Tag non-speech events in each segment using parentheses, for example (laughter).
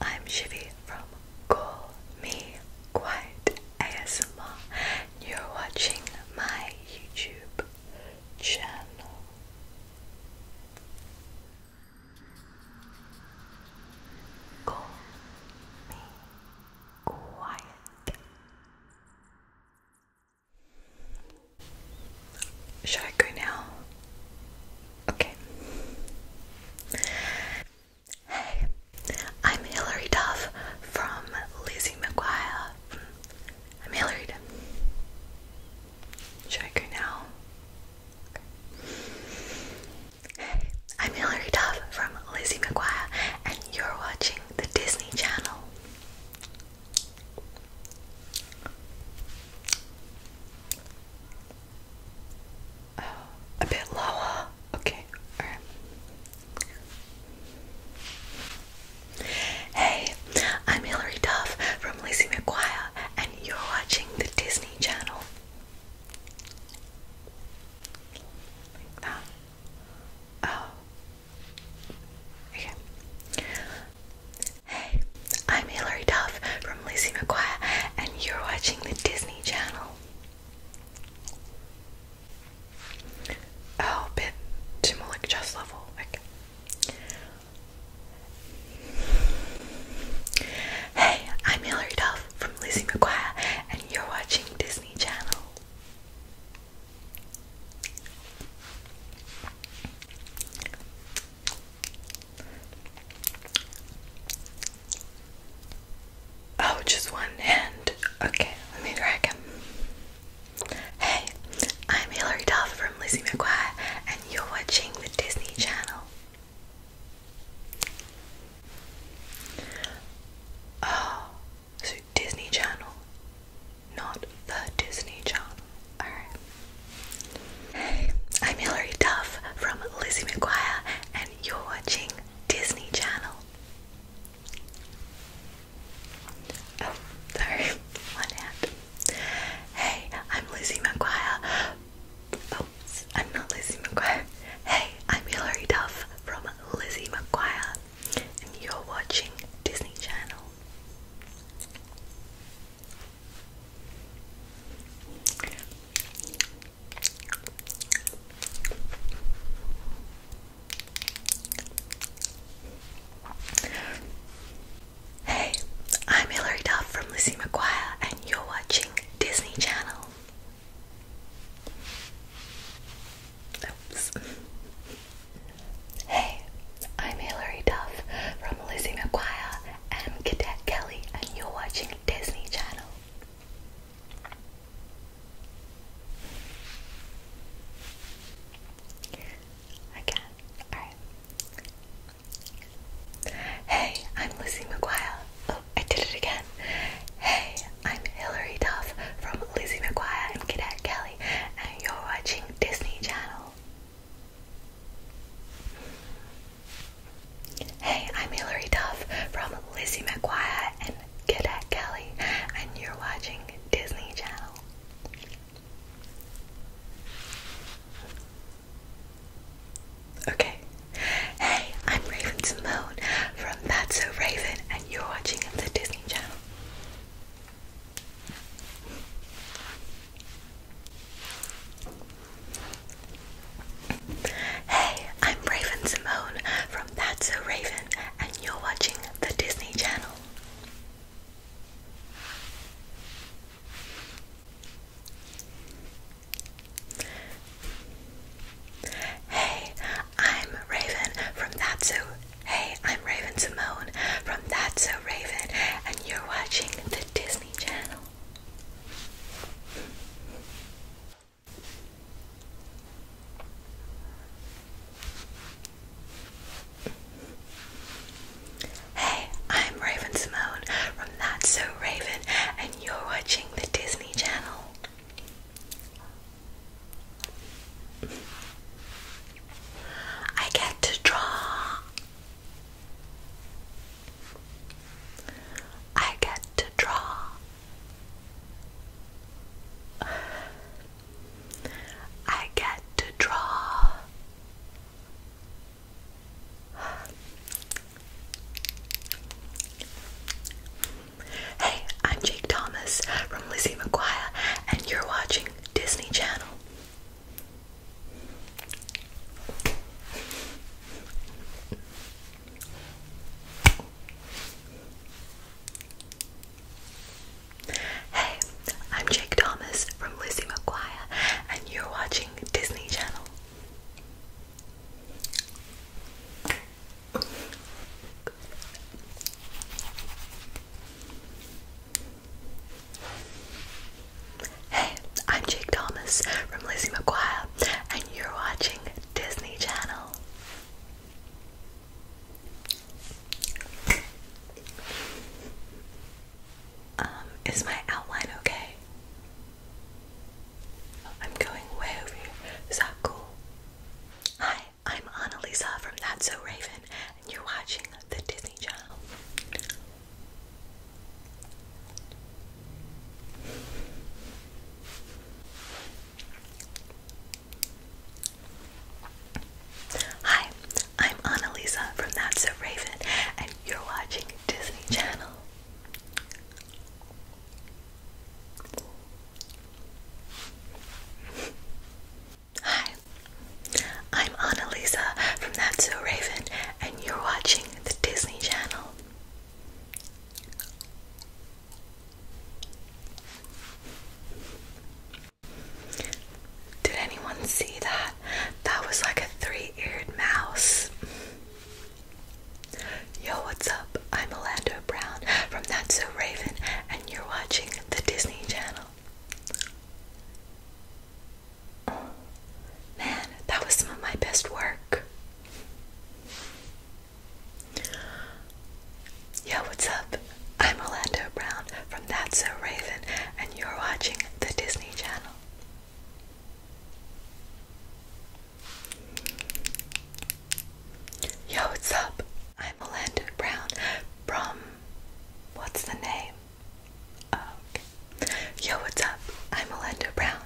I'm Shivi from Call Me Quiet ASMR. You're watching my YouTube channel. Call me quiet. Should I go now? Okay. Hey, I'm Hilary Duff from Lizzie McGuire. I'm Hilary Should I go now? Hey, I'm Hilary Duff from Lizzie McGuire, and you're watching the Disney Channel. Oh, a bit lower. Okay, alright. Hey, I'm Hilary Duff from Lizzie McGuire, and you're watching the Disney Channel. Like Oh. Okay. Hey, I'm Hilary Duff from Lizzie McGuire, and you're watching the Disney Channel. Oh, bit to Malik just level. Hey, I'm Hilary Duff from Lizzie McGuire, and you're watching Disney Channel. Oh, just one hand. Okay, let me try again. Hey, I'm Hilary Duff from Lizzie McGuire, and you're watching the Disney Channel. Oh, so Disney Channel, not the Disney Channel. Alright. I'm Hilary Duff from Lizzie McGuire, and you're watching Disney Channel. Oh, sorry, (laughs) one hand. Hey, I'm Lizzie McGuire. Oh, I'm not Lizzie McGuire. Hey, I'm Hilary Duff from Lizzie McGuire, and you're watching Disney Channel. Hey, I'm Hilary Duff from Lizzie McGuire, and you're watching Disney Channel. Oops. Hey, I'm Hilary Duff from Lizzie McGuire, I'm Cadet Kelly, and you're watching Disney Channel. Again, alright. Hey, I'm Lizzie McGuire. Oh, I did it again. Hey, I'm Hilary Duff from Lizzie McGuire and Cadet Kelly, and you're watching Disney Channel. Hey, I'm Hillary Duff from Lizzie McGuire and Cadet Kelly, and you're watching Disney Channel. Okay. Hey, I'm Raven Simone from That's So Raven, and you're watching the Disney Channel. Hey, I'm Raven Simone from That's a Raven, and you're watching the Disney Channel. Hey, I'm Raven from That's So. Hey, I'm Raven Simone from That's So Raven, and you're watching the Disney Channel. Hey, I'm Raven Simone from That's So Raven, and you're watching the Disney Channel. I get to draw. I get to draw. I get to draw. Hey, I'm Jake Thomas from Lizzie McGuire, and you're watching Disney Channel. Hey, I'm Jake Thomas from Lizzie McGuire, and you're watching Disney Channel. Hey, I'm Jake Thomas from Lizzie McGuire, and you're watching Disney Channel. Um, is my outline okay? I'm going way over here. Is that cool? Hi, I'm Annalisa from That's So Raven, and you're watching the Disney Channel. Hi, I'm Annalisa from That's So Raven, and you're watching Disney Channel. Hi, I'm Annalisa from That's So Raven, and you're watching the Disney Channel. Did anyone see that? That was like a three eared mouse. Yo, what's up? I'm Orlando Brown from That's So Raven, and you're watching the Disney Channel. Man, that was some of my best work. Yo, what's up? I'm Orlando Brown from That's So Raven, and you're watching the Disney Channel. Yo, what's up? I'm Orlando Brown from. What's the name? Yo, what's up? I'm Melinda Brown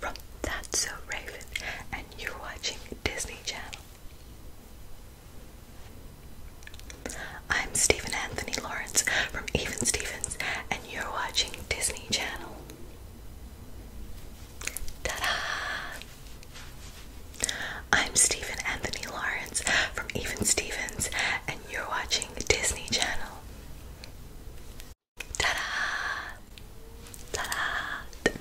from That's So Raven, and you're watching Disney Channel. I'm Stephen Anthony Lawrence from Even Stevens, and you're watching Disney Channel. Ta-da! I'm Stephen Anthony Lawrence from Even Stevens, and you're watching Disney Channel. Ta-da! Ta-da!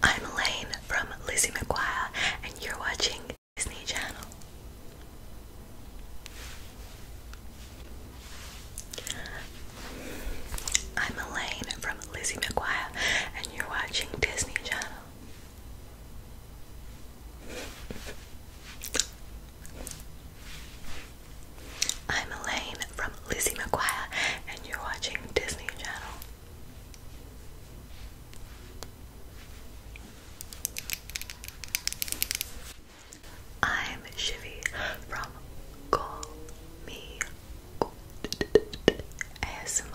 I'm Elaine from Lizzie McGuire, and you're watching Disney Channel. I'm Elaine from Lizzie McGuire, and you're watching Disney Channel. I'm Elaine from Lizzie McGuire, and you're watching Disney Channel. I'm Shivy from Call Me ASMR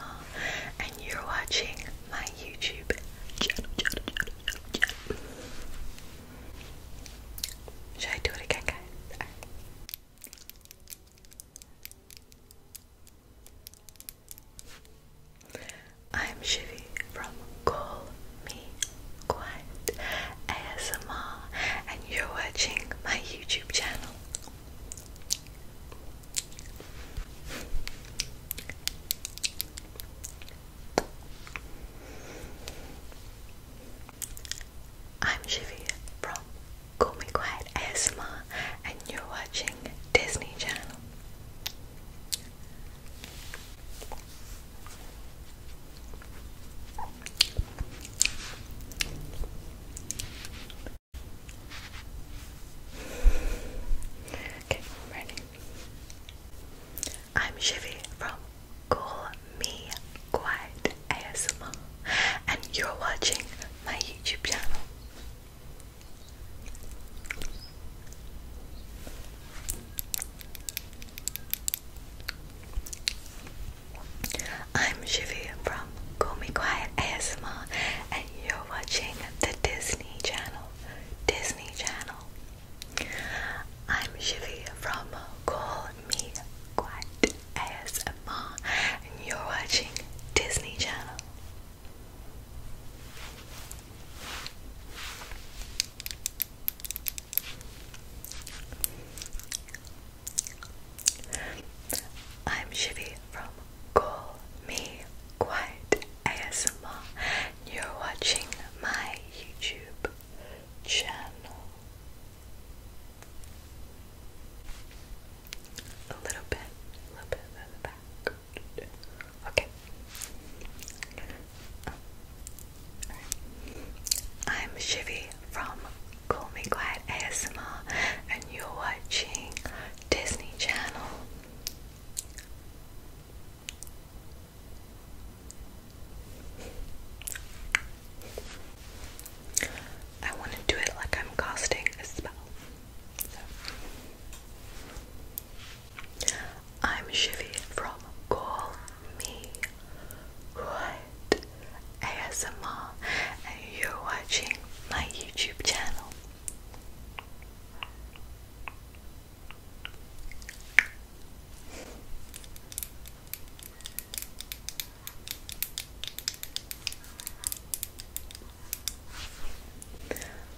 and you're watching my YouTube channel, Should I do it again, guys? I'm Shivy from Call Me Quiet ASMR and you're watching my YouTube channel. I'm Shivi from Call Me Quiet ASMR and you're watching Disney Channel. Okay, ready. I'm Shivy from Call Me Quiet ASMR, and you're watching my YouTube channel. I'm Shivy from Call Me Quiet ASMR, and you're watching the Disney Channel. Disney Channel. I'm Shivi from Call Me Quiet ASMR, and you're watching Disney Channel. I'm Shivi from Call Me Quiet ASMR. You're watching my YouTube channel. A little bit, a little bit further back. Okay. right. I'm Shivy from Call Me Quiet ASMR, and you're watching Disney Channel. I want to do it like I'm casting a spell. I'm Shivy from Call Me What ASMR, and you're watching my YouTube channel.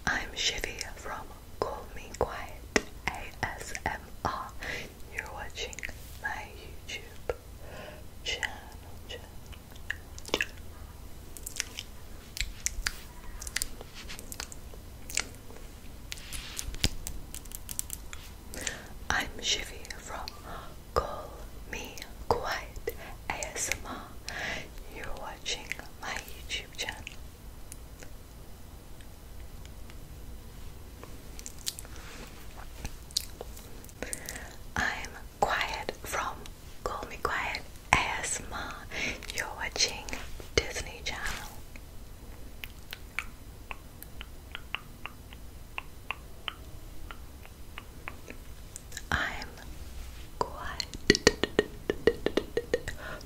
I'm Shivy from Call Me Quiet ASMR. You're watching my YouTube channel. I'm Shivy from Call Me Quiet ASMR. You're watching my YouTube channel. I'm Quiet from Call Me Quiet asthma. You're watching Disney Channel. I'm quiet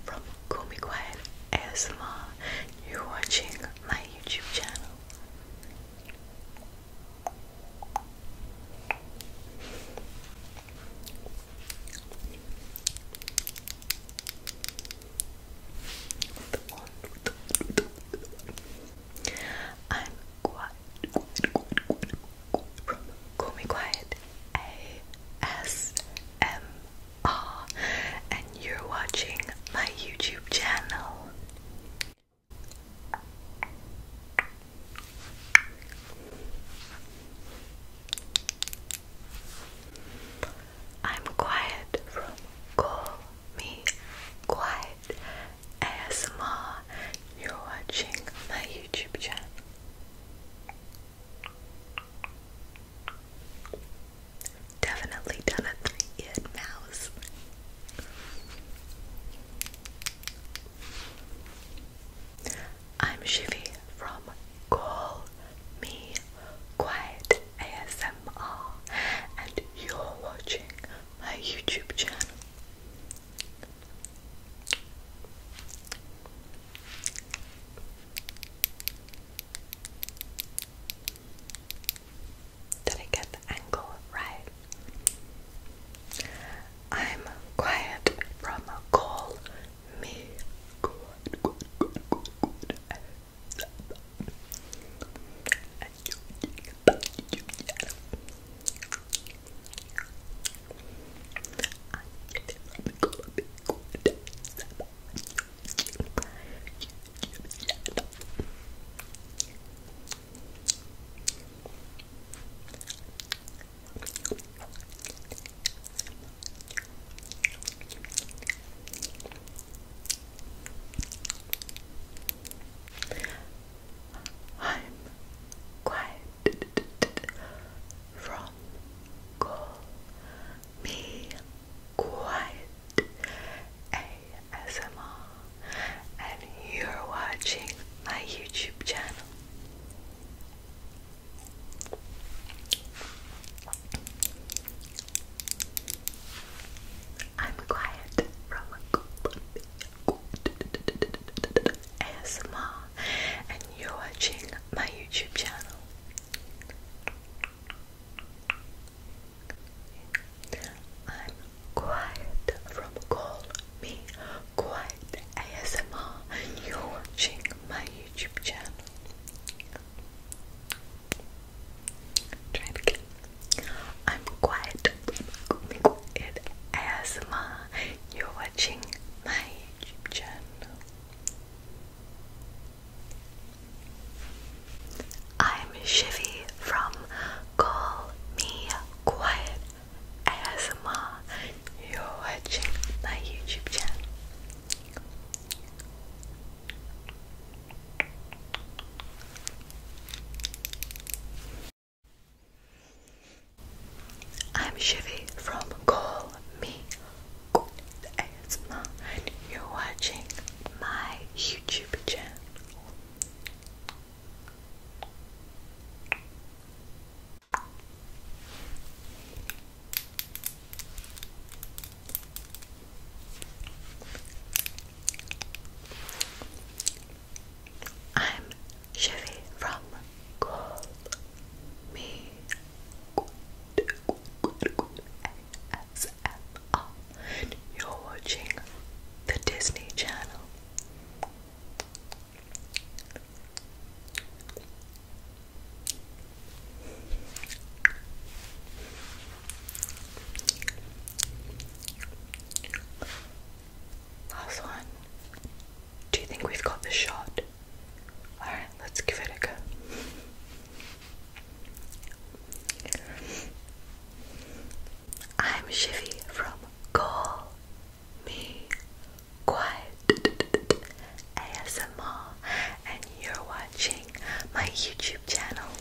from Call Me Quiet ASMR. You're watching my YouTube channel. I'm quiet, Call Me Quiet ASMR, and you're watching my YouTube channel. I'm quiet from Call Me Quiet ASMR. You're watching my YouTube channel. Definitely done a three-eared mouse. I'm Shivy from Call Me Quiet ASMR, and you're watching my YouTube channel. Did I get the angle right? I'm quiet from call me good, good, good, good, good. I I'm quiet from call me quiet ASMR and you're watching my YouTube channel I'm quiet from ASMR and you're watching my YouTube channel. I'm quiet from call me quiet. ASMR you're watching my YouTube channel. Try it again. I'm quiet. It ASMR. You're watching my YouTube channel. I'm Shivy from Call Me Quiet ASMR you're watching my YouTube channel. I'm Shivi from Call Me Good ASMR and you're watching my YouTube channel. I'm Chevy from Call Me Good, Good, Good ASMR. You're watching the Disney Channel. Last one. Do you think we've got the shot? Alright, let's give it a go. I'm Shivy from Call Me Quiet ASMR, and you're watching my YouTube channel.